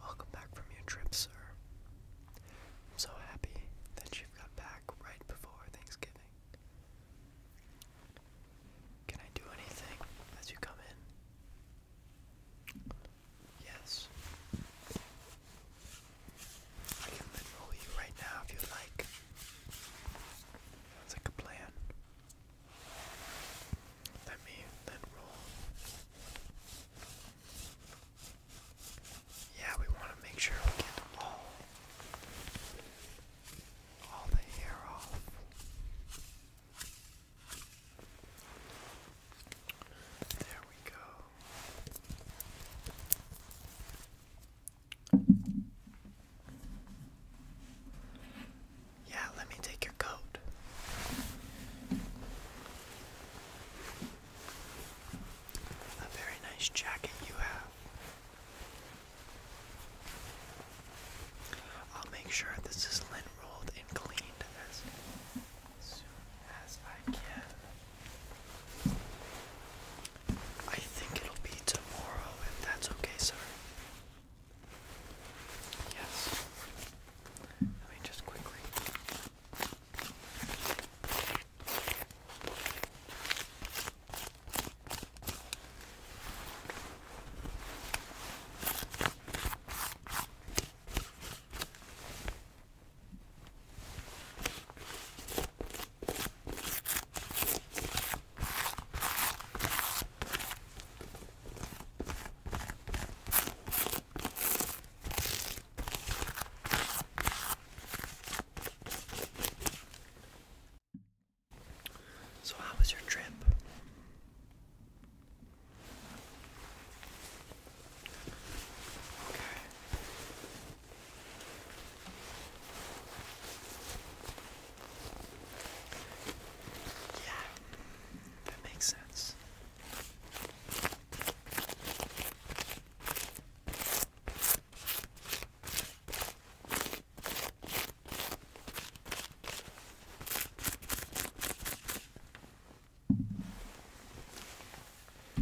Welcome back from your trip, sir. I'm so happy that you've got back right before Thanksgiving. Can I do anything as you come in? Yes. I can enroll you right now if you like. Sounds like a plan. Let me then roll. Yeah, we want to make sure we get all all the hair off. There we go. Yeah, let me take your coat. A very nice jacket you have. I'll make sure this is lint rolled and cleaned as soon as I can. I think it'll be tomorrow if that's okay, sir. Yes. Let me just quickly. So, how was your trip? Okay. Yeah, that makes sense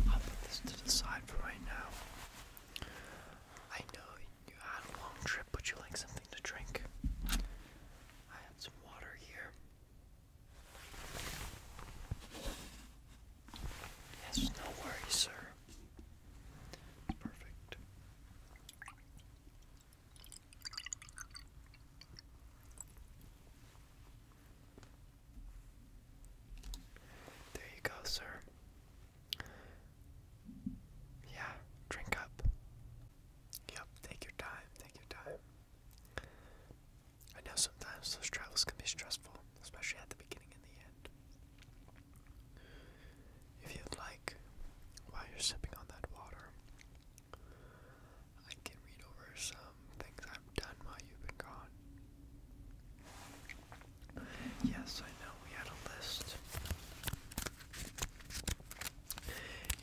i put this to the side for right now. I know you had a long trip, but you like something to drink. I have some water here. Yes, no worries, sir. Perfect. There you go, sir. Yeah, drink up. Yep, take your time, take your time. I know sometimes those travels can be stressful, especially at the beginning and the end. If you'd like, while you're sipping on that water, I can read over some things I've done while you've been gone. Yes, I know we had a list.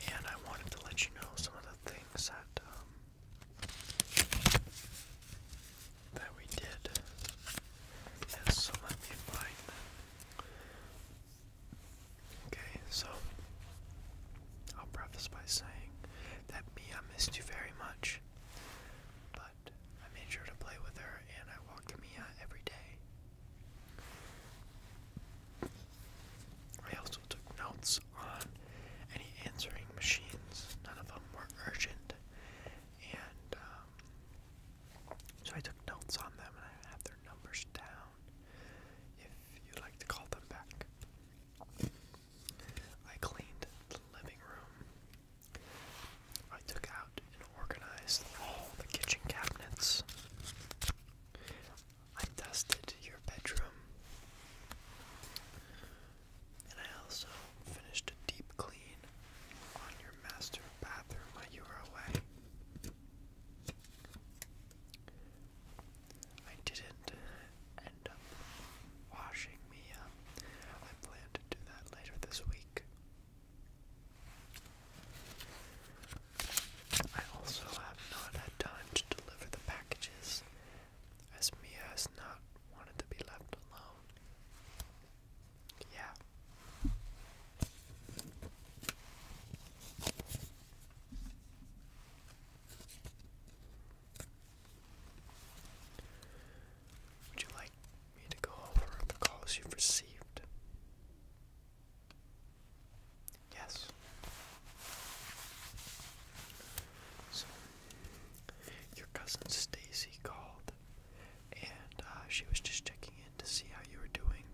And I wanted to let you know some of the things that um, that we did. And so let me find Okay, so I'll preface by saying that me, missed you very much, but I made sure to play with her and I walked Mia every day. I also took notes on any answering machines. None of them were urgent, and um, so I took notes on them and I have their numbers down. If you'd like to call them back, I cleaned the living room. I took out and organized all the kitchen cabinets. I dusted your bedroom. And I also finished a deep clean on your master bathroom while you were away. I didn't end up washing me up. I plan to do that later this week. I also have not had time to deliver the as Mia has not wanted to be left alone. Yeah. Would you like me to go over the calls you've received? Yes. So, your cousin Stacy called, and uh, she was just checking in to see how you were doing.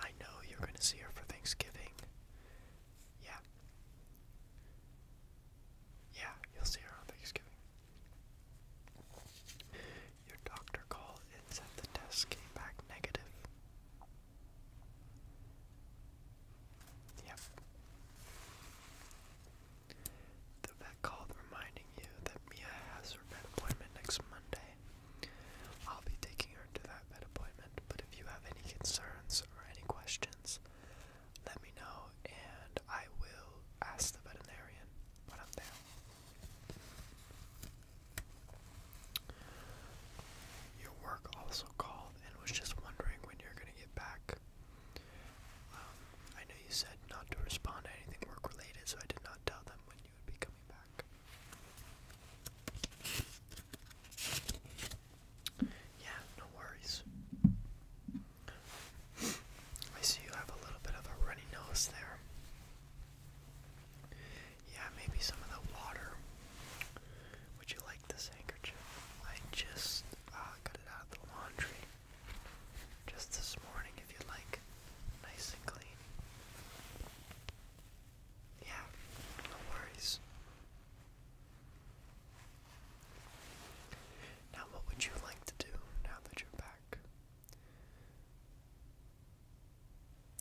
I know you're going to see her for Thanksgiving. Yeah. Yeah, you'll see her on Thanksgiving. Your doctor called and said the test came back negative. Yep. The vet called reminding you that Mia has her vet appointment next Monday. I'll be taking her to that vet appointment, but if you have any concerns or any questions, let me know and I will ask the veterinarian when I'm there. Your work also called and was just wondering when you're going to get back. Um, I know you said not to respond to anything work related, so I did not tell them when you would be coming back. Yeah, no worries. I see you have a little bit of a runny nose there. Yeah, maybe some of the water. Would you like this handkerchief? I just uh, got it out of the laundry just this morning, if you'd like. Nice and clean. Yeah, no worries. Now, what would you like to do now that you're back?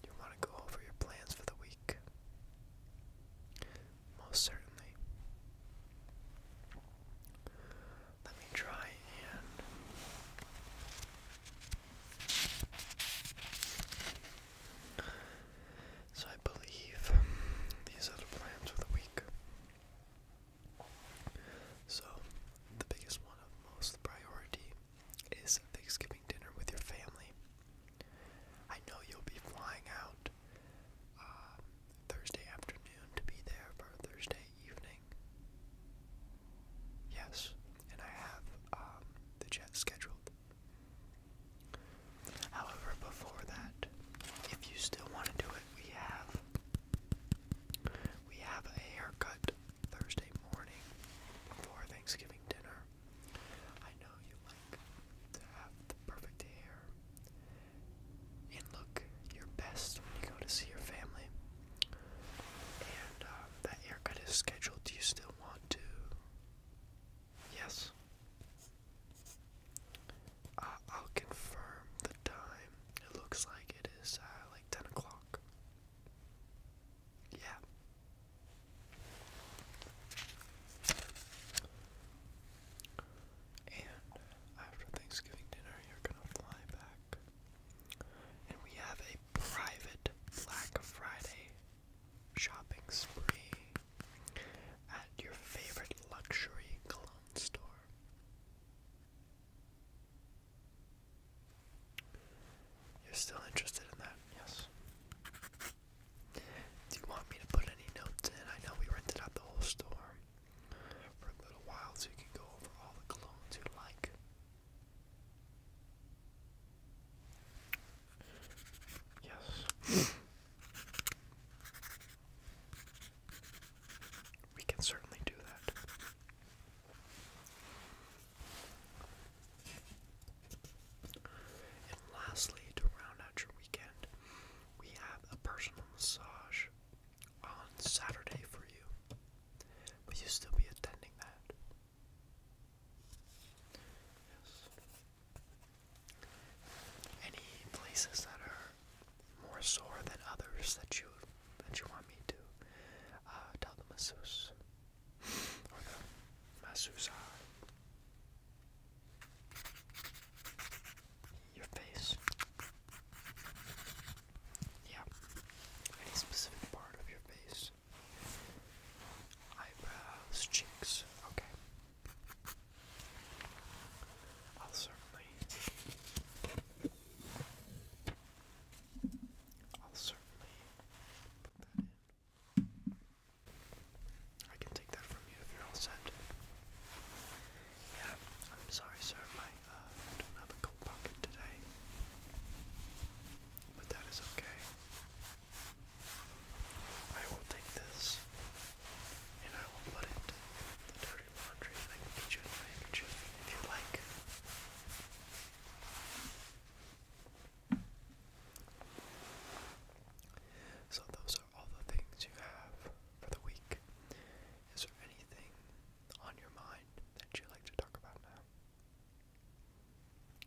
You want to go over your plans for the week? Most certainly. Let me try and. So, I believe these are the plans for the week. So, the biggest one of most priority is Thanksgiving dinner with your family. I know you'll be flying out uh, Thursday afternoon to be there for Thursday evening. Yes, and I have um, the jet scheduled. However, before that, if you still want to do it, we have we have a haircut Thursday morning before Thanksgiving dinner. I know you like to have the perfect hair and look your best when you go to see your family. And uh, that haircut is scheduled. Do you still want to? Yes. Uh, I'll confirm the time. It looks like it is uh, like 10 o'clock. Yeah. And after Thanksgiving dinner, you're gonna fly back. And we have a private Black Friday shopping spree at your favorite luxury cologne store. You're still interested in that, yes. Do you want me to put any notes in? I know we rented out the whole store for a little while so you can go over all the colognes you like. Yes. we can certainly do that. And lastly, to round out your weekend, we have a personal massage on Saturday for you. Will you still be attending that? Yes. Any places that are more sore than others that you that you want me to uh, tell the masseuse or the masuza. Your face. Yeah. Any specific part of your face. Eyebrows, cheeks, okay. I'll certainly I'll certainly I can take that from you if you're all set. Yeah, I'm sorry, sir. My uh, I don't have a coat pocket today, but that is okay. I will take this, and I will put it in the dirty laundry, and I can get you in my handkerchief if you like. So those are all the things you have for the week. Is there anything on your mind that you'd like to talk about now?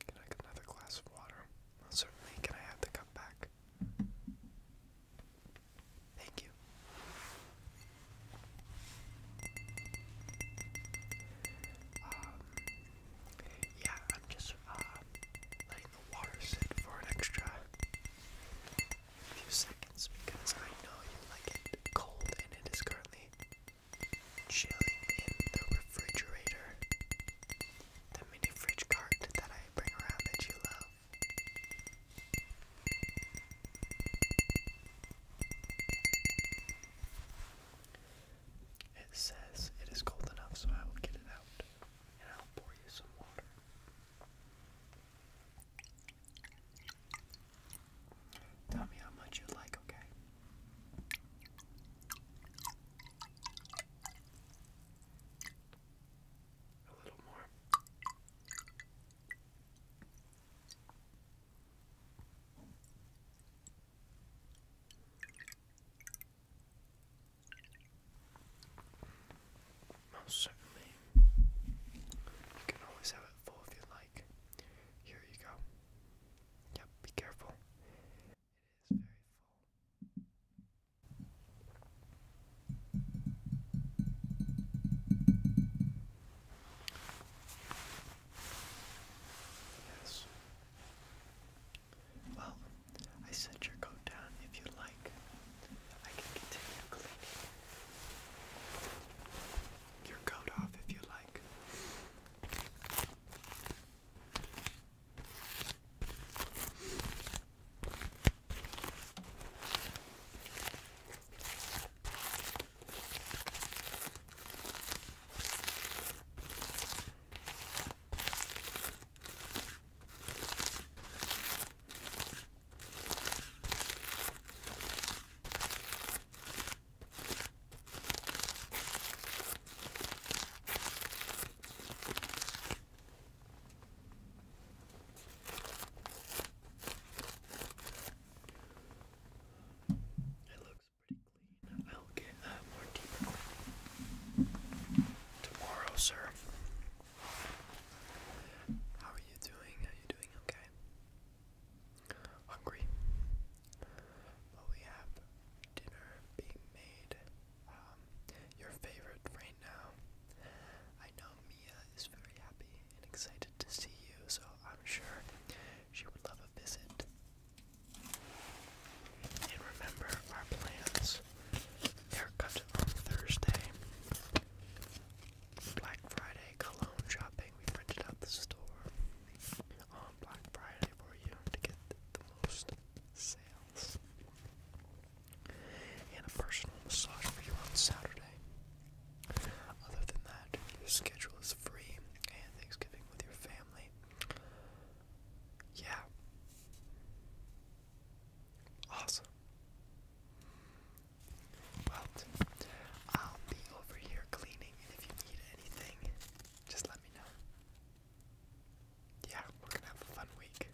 Can I get another glass of water? certainly. Can I have the cup back? Thank you. Um, yeah, I'm just uh, letting the water sit for an extra few seconds because I know you like it cold and it is currently chilling in the refrigerator. The mini fridge cart that I bring around that you love. It says it is cold enough, so I will get it out and I'll pour you some water. Tell me how much you like, okay? A little more. Most certainly. You can always have it full if you like. Here you go. Yep, be careful. It is very full. Yes. Well, I set your coat down if you'd like. I can continue cleaning your coat off if you like. It looks pretty clean. I'll get a uh, more deeper clean tomorrow, sir. How are you doing? Are you doing okay? Hungry? Well, we have dinner being made. Um, your favorite right now. I know Mia is very happy and excited to see you, so I'm sure she would love a visit. And remember our plans. Haircut on Thursday. Black Friday cologne shopping. We rented out the store on Black Friday for you to get the most sales. And a personal massage for you on Saturday. Other than that, your schedule is free and Thanksgiving with your family. Yeah. Awesome. Well, I'll be over here cleaning, and if you need anything, just let me know. Yeah, we're gonna have a fun week.